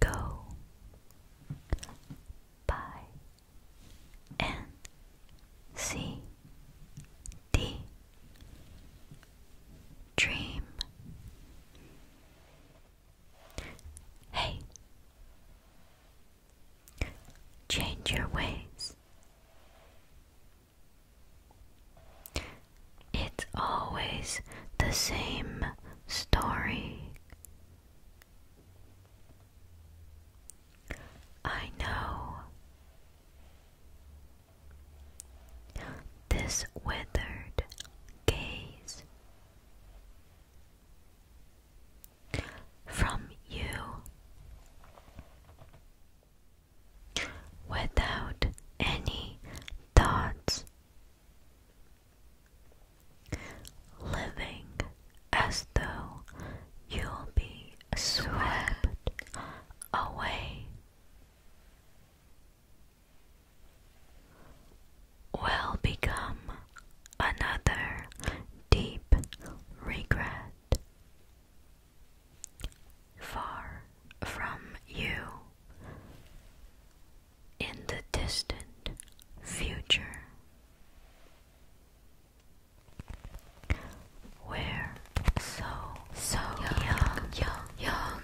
Go by N C D Dream Hey Change your ways. It's always the same story. I know this withered gaze from you without any thoughts, living as though you'll be swept away. Will become another deep regret. Far from you, in the distant future, we so, so young, young, young,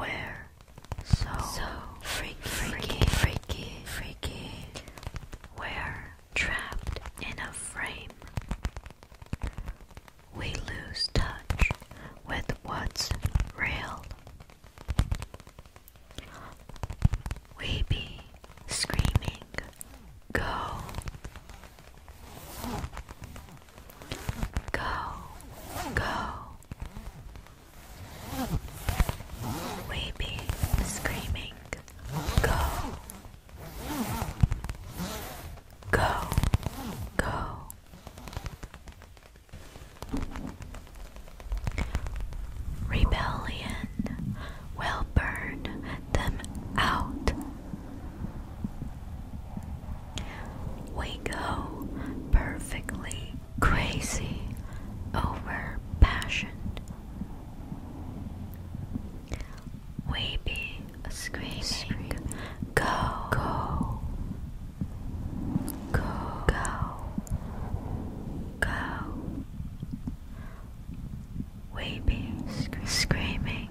we so, so freaky, freaky, freaky, freaky, we're trapped in a frame. We lose touch with what's real. We be screaming, Go! Go! Go! weeping, screaming, go, go, go. Rebellion will burn them out. We go perfectly crazy overpassion. We be screaming, go, go, go, go, go. We be screaming,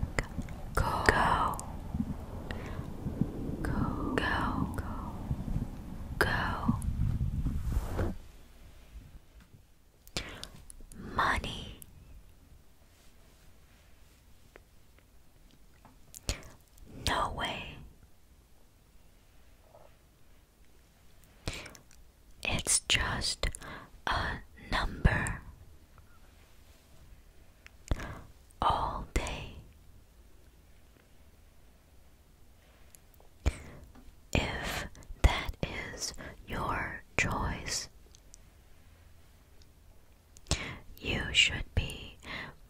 go, go, go, go go. Money, no way. It's just a number. All day, if that is your choice, you should be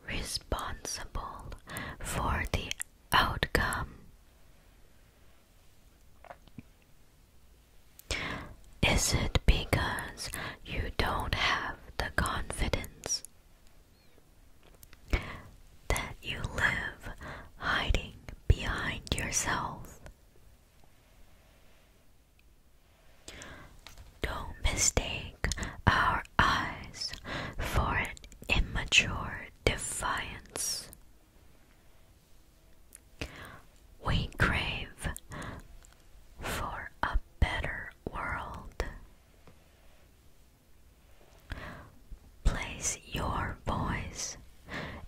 responsible for the outcome. Is it because you don't have the confidence that you live hiding behind yourself. Don't mistake our eyes for an immature defiance. We crave for a better world. Place your voice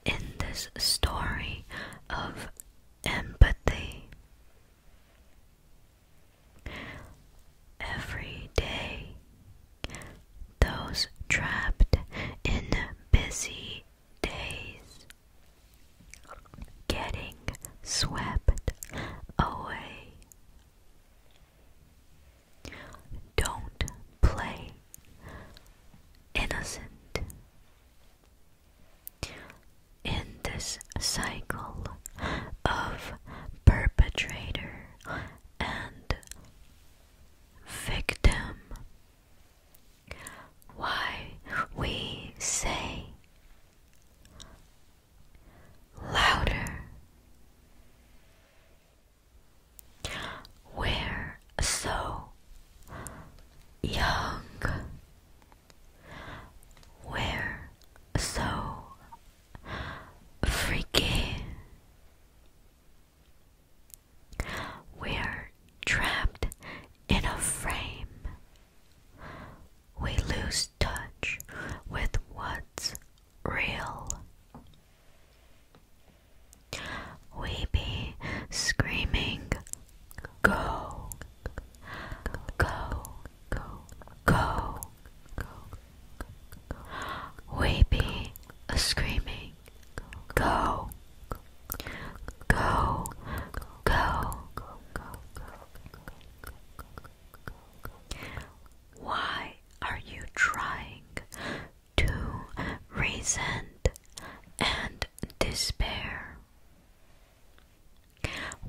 in this story of empathy. Every day, those trapped in busy days getting swept away. Don't play innocent. In this cycle of perpetrator and victim, why we say louder. We're so young. We're so freaky. We're trapped in a frame we lose touch with what's real. We be screaming, Go, go, go, go. We be screaming, Go, go, go, go, go, go, go, go, why are you trying to resent and despair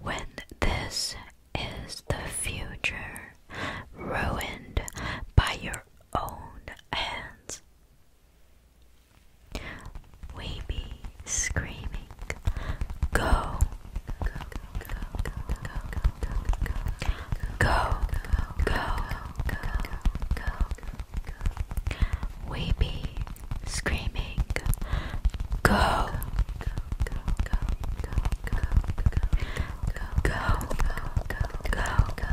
when this is the future ruined by your own hands? We be screaming make go go go go go go go we be screaming go go go go go go go go go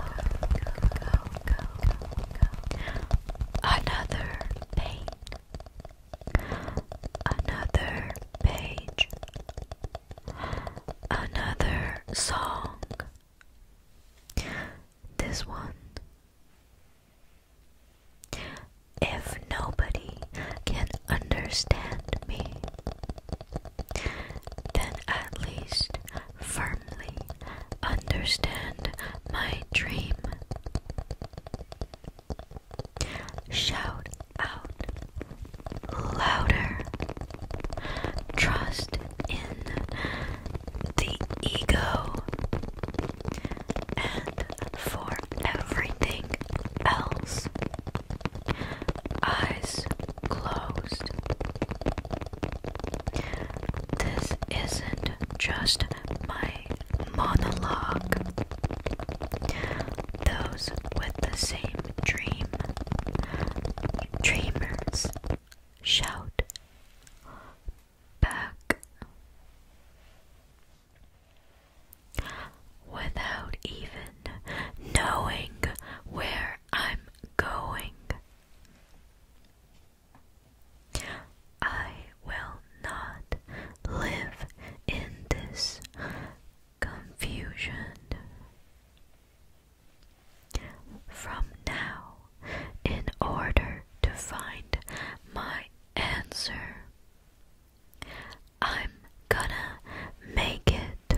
go another pain another page, another song. This one. If nobody can understand me, then at least firmly understand my dream. Shout out louder. Trust in the ego. And for everything else, eyes closed. This isn't just my monologue. Those with the same dream, dreamers, shout back. Without even knowing where I'm going. I will not live in this confusion. From now, in order to find my answer, I'm gonna make it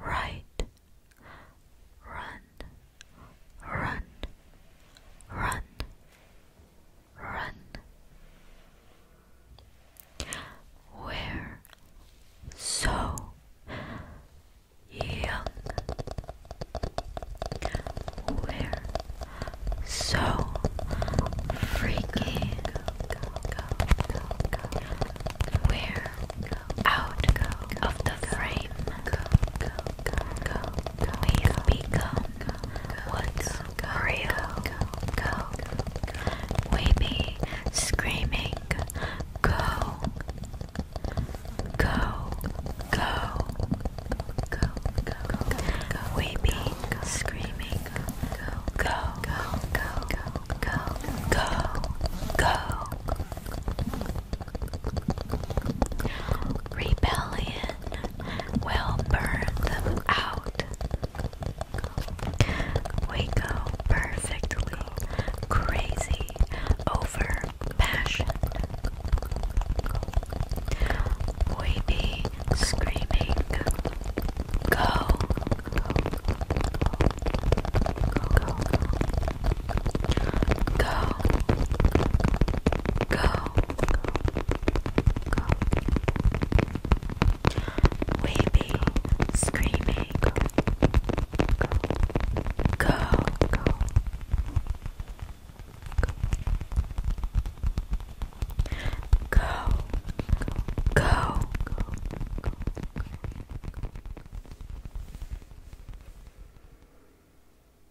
right. Run, run, run run. we so young. we so freaky. we out of the frame we've become what's real, we be screaming, go, go, go, we be screaming, go, go, go, go, go, go, go, rebellion we will burn them out. We go perfectly crazy over passion. We be screaming, go, go, go, go, go, go. Weeping, screaming, go, go, go, go. Go, go, go, go, go.